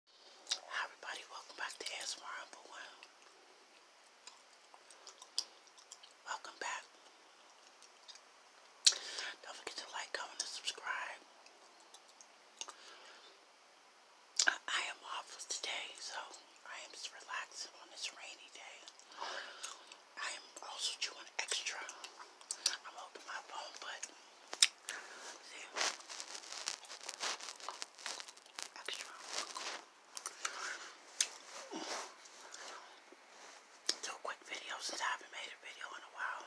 Hi everybody, welcome back to ASMR Humble One. Welcome back. Don't forget to like, comment, and subscribe. I, I am office today, so I am just relaxing on this rainy day. I am also chewing extra. I'm holding my phone, but See? Extra. Do a quick video since I haven't made a video in a while.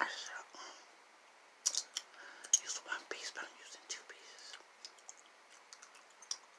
I should use one piece, but I'm using two pieces.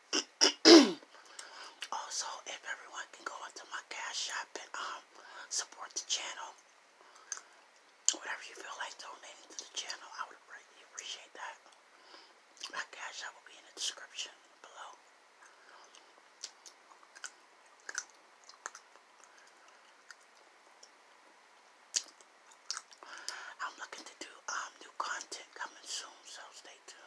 also, if everyone can go into my cash shop and um support the channel, whatever you feel like donating to the channel, I would greatly appreciate that. My cash shop will be in the description below. I'm looking to do um, new content coming soon, so stay tuned.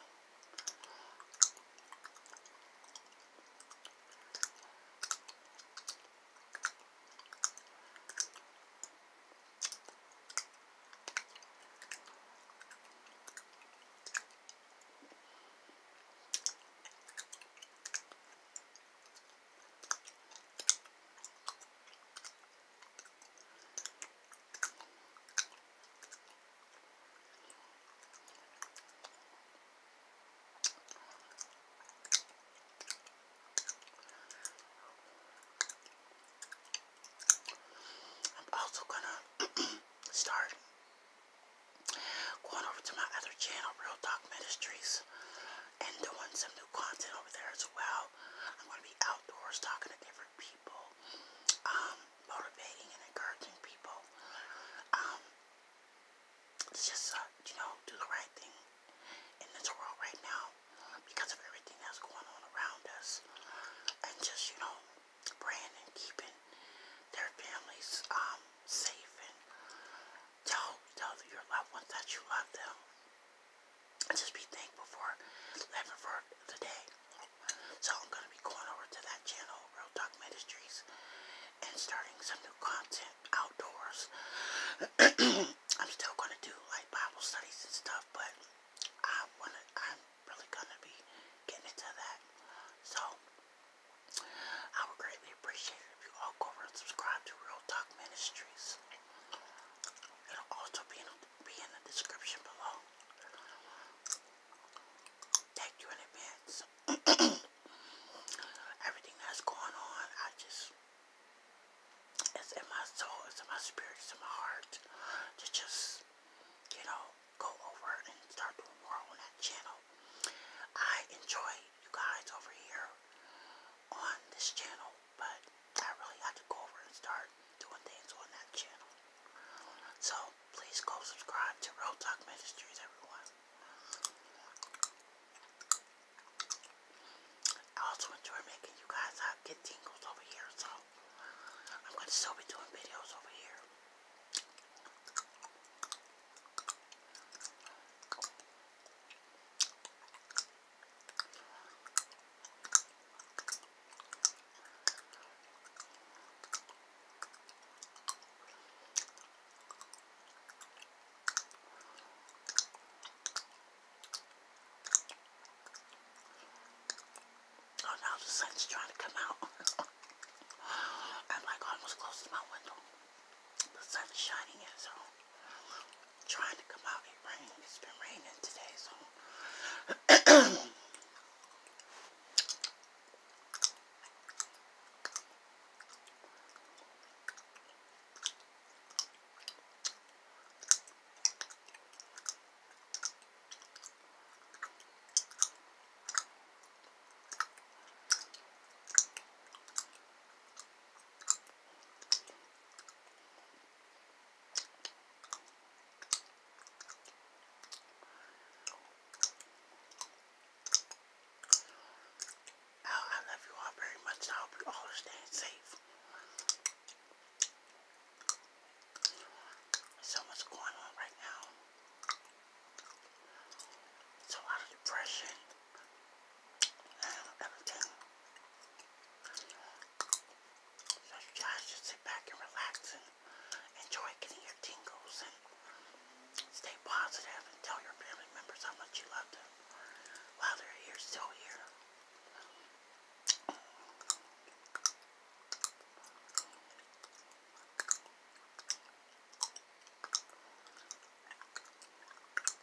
I'm also gonna start going over to my other channel, Real Talk Ministries and doing some new content over there as well. I'm going to be outdoors talking to different people, um, motivating and encouraging people. Um, it's just, uh, you know, do the right thing in this world right now because of everything that's going on around us. And just, you know, praying and keeping their families um, safe and tell, tell your loved ones that you love them just be thankful for living for the So I'm going to be going over to that channel, Real Talk Ministries, and starting some new content outdoors. I'm still going to do like Bible studies and stuff, but I want to, I'm really going to be getting into that. So I would greatly appreciate if you all go over and subscribe to Real Talk Ministries. It'll also be in, the description below. Thank you in advance. Everything that's going on, I just, it's in my soul, it's in my spirit, it's in my heart to just, you know, go over and start doing more on that channel. I enjoy you guys over here on this channel but I really had to go over and start doing things on that channel. So please go subscribe to Real Talk Ministries, everyone. I also enjoy making you guys uh, get tingles over here, so I'm going to still be doing videos over here. Oh, now the sun's trying to come out. I'm like almost close to my window. The sun's shining in, so trying to come out. It rained. It's been raining today, so. Oh, I love you all very much. I hope you all are staying safe. So much going on right now. It's a of depression everything. you sit back and relax and enjoy getting your tingles and stay positive and tell your family members how much you love them while they're still here.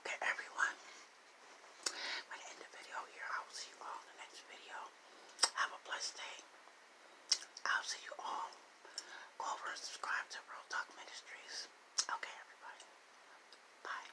Okay, everyone. I'm going to end the video here. I will see you all in the next video. Have a blessed day. I'll see you all. Go over and subscribe to Real Talk Ministries. Okay, everybody. Bye.